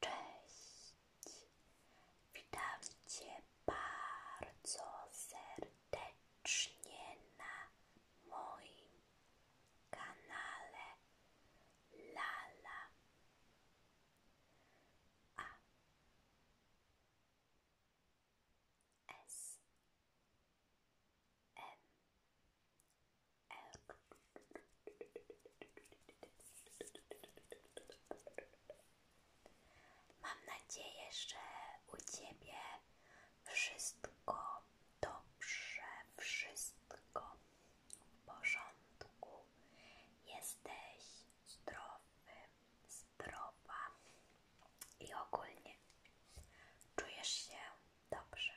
Cześć! Witam Cię bardzo serdecznie na moim kanale Lala. Mam nadzieję, że u Ciebie wszystko dobrze, wszystko w porządku. Jesteś zdrowy, zdrowa i ogólnie czujesz się dobrze.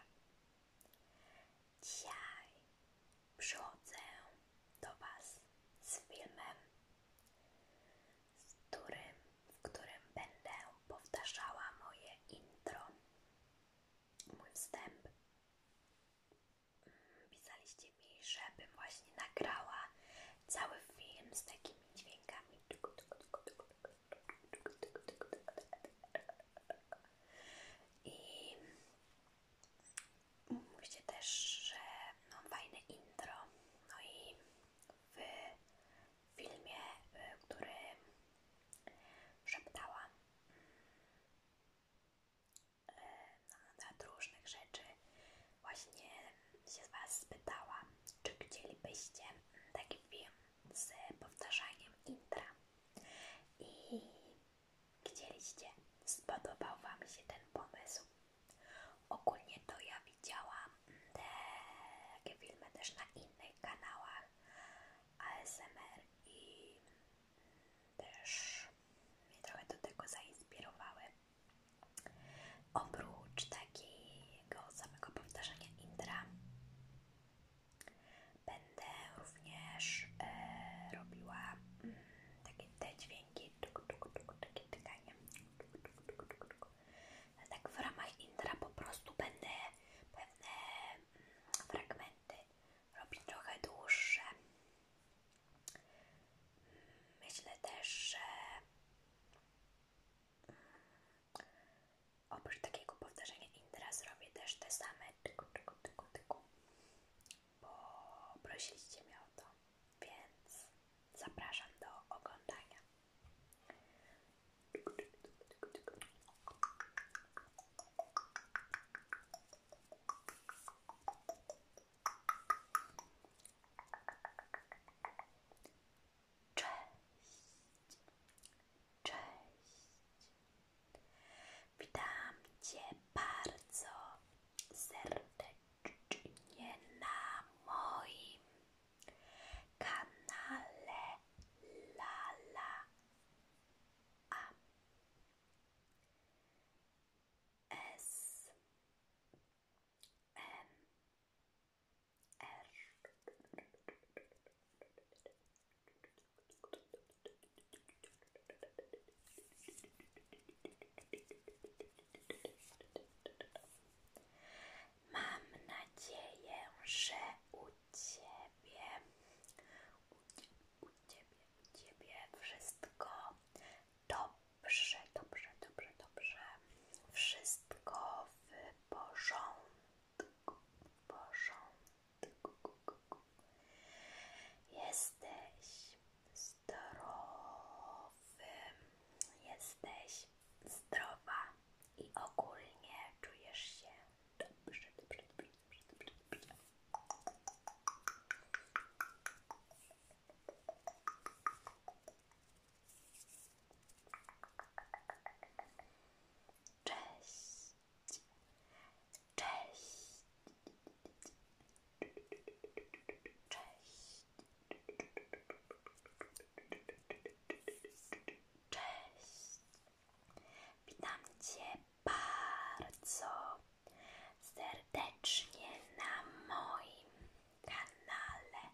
Dzisiaj przychodzę do Was z filmem, z którym, w którym będę powtarzała moje intro, mój wstęp. Pisaliście mi, żebym właśnie nagrała cały film z takim dźwiękami. I mówcie też, że mam fajne intro. No i w filmie, który szeptałam na temat różnych rzeczy, właśnie się z Was spytałam, czy chcielibyście taki film z powtarzaniem intra i chcieliście, spodobał Wam się ten pomysł. Ogólnie to ja widziałam te takie filmy też na innych kanałach ASMR i też mnie trochę do tego zainspirowały. Oprócz takiego samego powtarzania Indra będę również e, robiła mm, takie te dźwięki, tuk, tuk, tuk, takie tykanie. Tuk, tuk, tuk, tuk, tuk. Tak w ramach Indra po prostu będę pewne mm, fragmenty robić trochę dłuższe. Myślę też, że Oprócz takiego powtarzania Indra zrobię też te same tyku, tyku, tyku, bo prosiliście mnie o to, więc zapraszam do oglądania. Cześć, cześć. Witam Cię bardzo serdecznie na moim kanale Lala A S Mam nadzieję, że u Ciebie, u, u Ciebie, u Ciebie wszystko dobrze dobrze, dobrze, dobrze. Wszystko w porządku, w Jesteś zdrowy, jesteś zdrowa i ogólnie czujesz się dobrze, dobrze, dobrze, dobrze, dobrze. dobrze. Cześć. Cześć. Cześć. Witam Cię bardzo serdecznie na moim kanale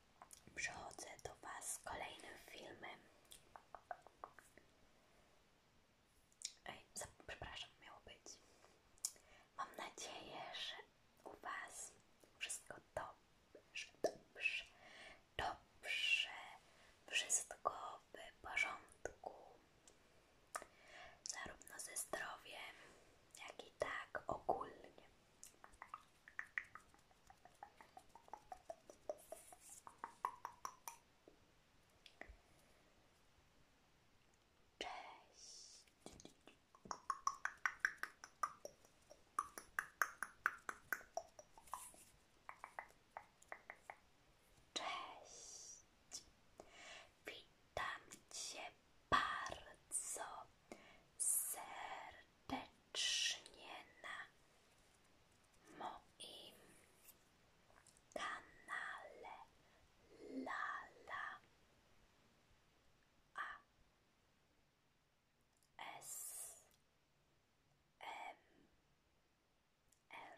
Przechodzę do Was z kolejnym filmem. Ej, przepraszam, miało być. Mam nadzieję, że u Was wszystko dobrze, dobrze, dobrze, wszystko w porządku. Zarówno ze zdrowiem, jak i tak ogólnie. Cześć. Witam cię bardzo serdecznie na moim kanale Lala A S M R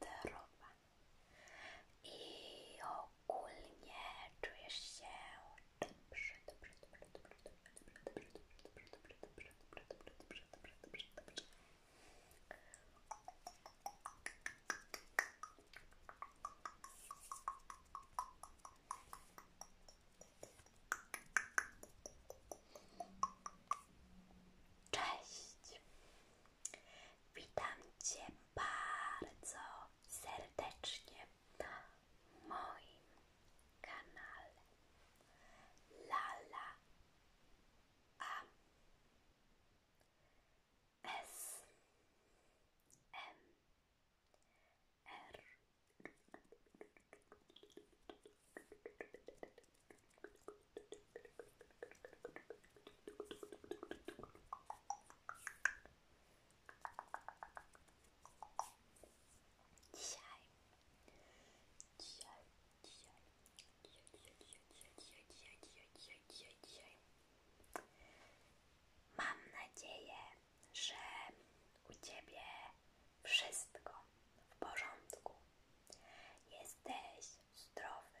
zdrowa i ogólnie czujesz się dobrze, dobrze, dobrze, dobrze, dobrze, dobrze, dobrze, dobrze, dobrze, dobrze, dobrze, dobrze, dobrze, dobrze. Cześć! Witam Cię bardzo serdecznie na moim kanale Lala A S M R Dzisiaj, dzisiaj, dzisiaj, dzisiaj, dzisiaj, dzisiaj, dzisiaj, dzisiaj, dzisiaj, dzisiaj, dzisiaj. Mam nadzieję, że u Ciebie wszystko w porządku. Jesteś zdrowy,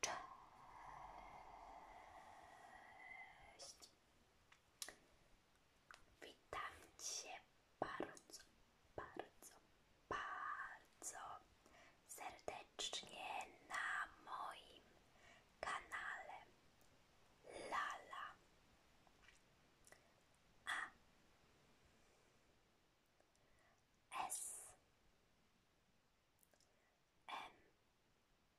Cześć! Witam Cię bardzo, bardzo, bardzo serdecznie na moim kanale Lala. A. S. M.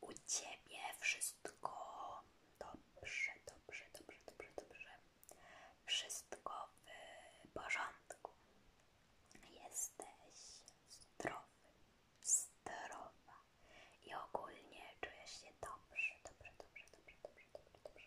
U ciebie wszystko dobrze, dobrze, dobrze, dobrze, dobrze. Wszystko w porządku. Jesteś zdrowy, zdrowa i ogólnie czujesz się dobrze, dobrze, dobrze, dobrze, dobrze, dobrze, dobrze.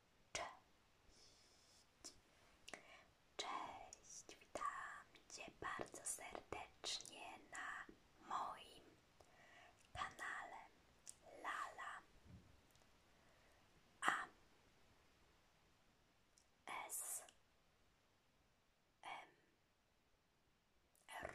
Cześć. Cześć, witam Cię bardzo serdecznie na moim kanale Lala A S M R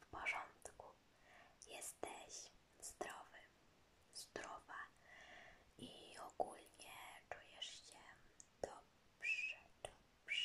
w porządku, jesteś zdrowy, zdrowa i ogólnie czujesz się dobrze, dobrze.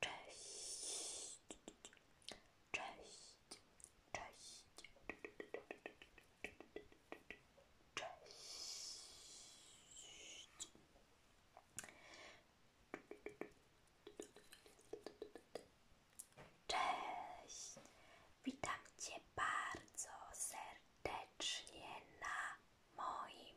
Cześć. Witam Cię bardzo serdecznie na moim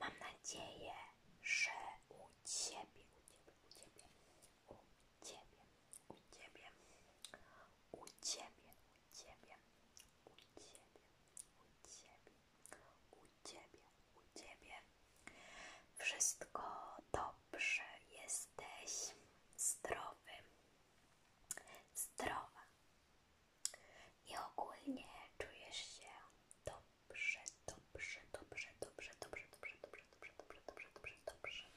Mam nadzieję, że u Ciebie, u Ciebie, u Ciebie, u Ciebie, u Ciebie, u ciebie, u ciebie, u ciebie, u ciebie, u ciebie. Wszystko dobrze, jesteś zdrowy, zdrowa i ogólnie czujesz się dobrze, dobrze, dobrze, dobrze, dobrze, dobrze, dobrze, dobrze, dobrze, dobrze, dobrze, dobrze.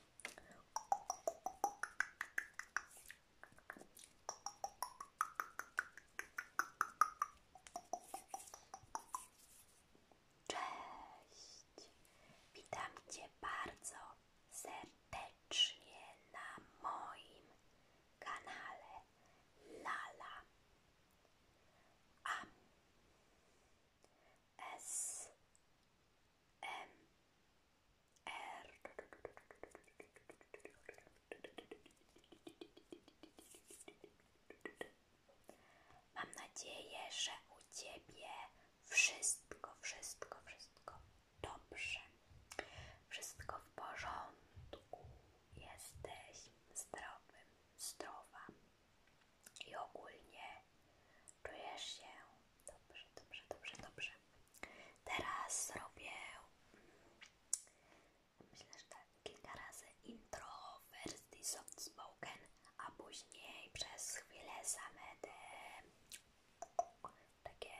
Cześć! Witam Cię bardzo serdecznie na moim kanale Lala Am S M R Mam nadzieję, że u Ciebie wszystko, wszystko, wszystko dobrze. Wszystko w porządku. Jesteś zdrowy, zdrowa. I ogólnie czujesz się dobrze, dobrze, dobrze, dobrze. Teraz zrobię Myślę, że tak kilka razy intro w wersji soft spoken, a później przez chwilę same te takie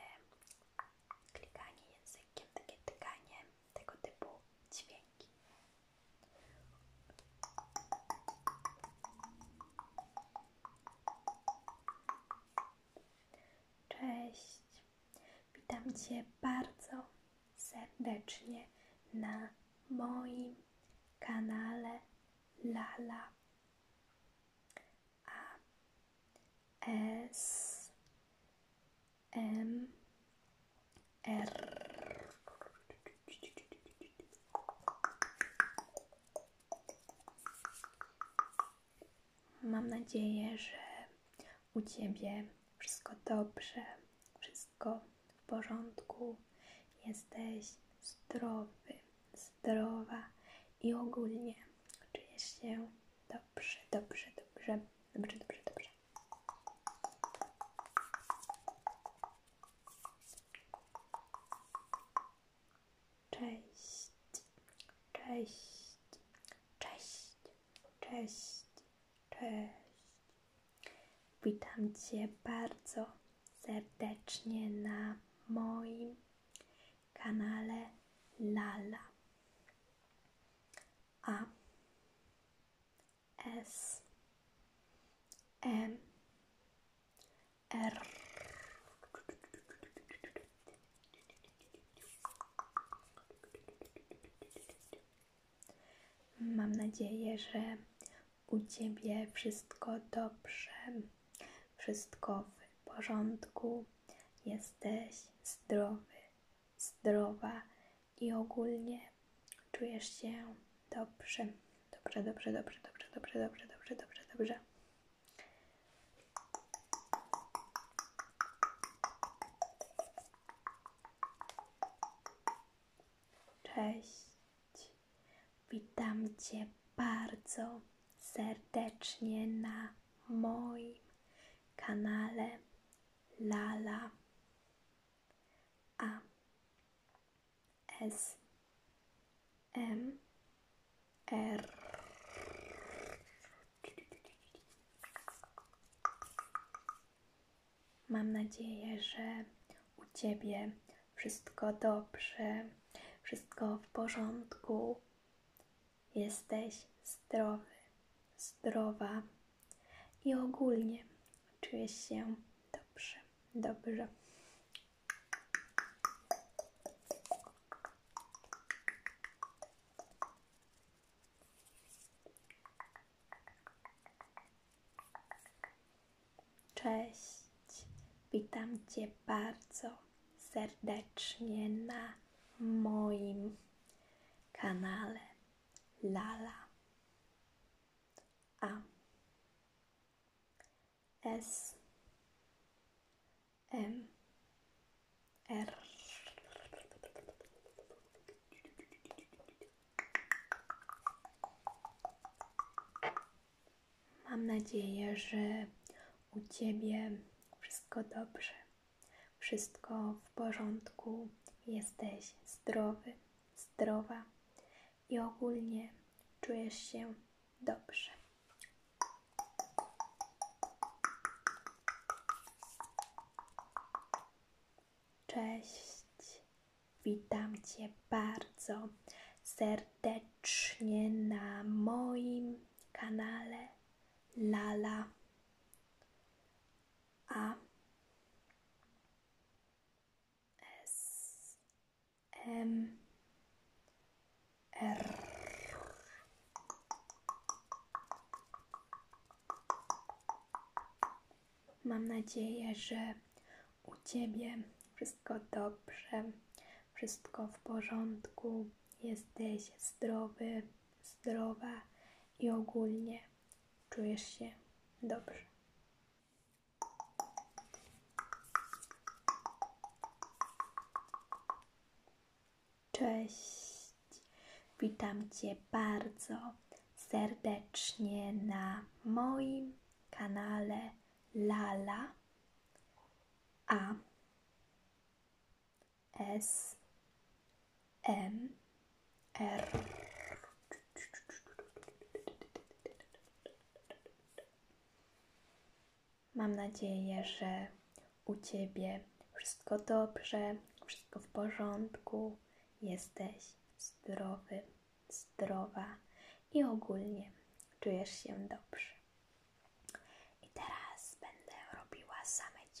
klikanie językiem, takie tykanie, tego typu dźwięki. Cześć! Witam Cię bardzo serdecznie na moim kanale Lala A S M R Mam nadzieję, że u Ciebie wszystko dobrze, wszystko w porządku, jesteś zdrowy, zdrowa i ogólnie czujesz się dobrze, dobrze, dobrze, dobrze, dobrze, dobrze. Cześć, cześć, cześć. Cześć, cześć. Witam Cię bardzo serdecznie na moim kanale Lala. A S M R Mam nadzieję, że u Ciebie wszystko dobrze, wszystko w porządku, jesteś zdrowy, zdrowa i ogólnie czujesz się dobrze. Dobrze, dobrze, dobrze, dobrze, dobrze, dobrze, dobrze, dobrze, dobrze. Cześć. Witam Cię bardzo serdecznie na moim kanale Lala A S M R Mam nadzieję, że u Ciebie wszystko dobrze, wszystko w porządku. Jesteś zdrowy, zdrowa i ogólnie czujesz się dobrze, dobrze. Cześć, witam Cię bardzo serdecznie na moim kanale Lala A S M R Mam nadzieję, że u Ciebie wszystko dobrze, wszystko w porządku, jesteś zdrowy, zdrowa i ogólnie czujesz się dobrze. Cześć, witam Cię bardzo serdecznie na moim kanale Lala. A S M R Mam nadzieję, że u Ciebie wszystko dobrze, wszystko w porządku, jesteś zdrowy, zdrowa i ogólnie czujesz się dobrze. Cześć, witam Cię bardzo serdecznie na moim kanale Lala A S M R. Mam nadzieję, że u ciebie wszystko dobrze, wszystko w porządku, jesteś zdrowy, zdrowa i ogólnie czujesz się dobrze. I teraz będę robiła same dźwięki.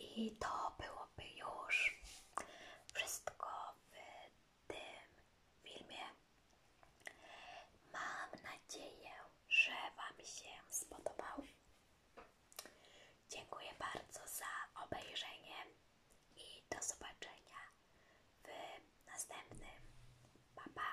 I to byłoby już wszystko w tym filmie. Mam nadzieję, że Wam się spodobał. Dziękuję bardzo za obejrzenie i do zobaczenia w następnym. Baba.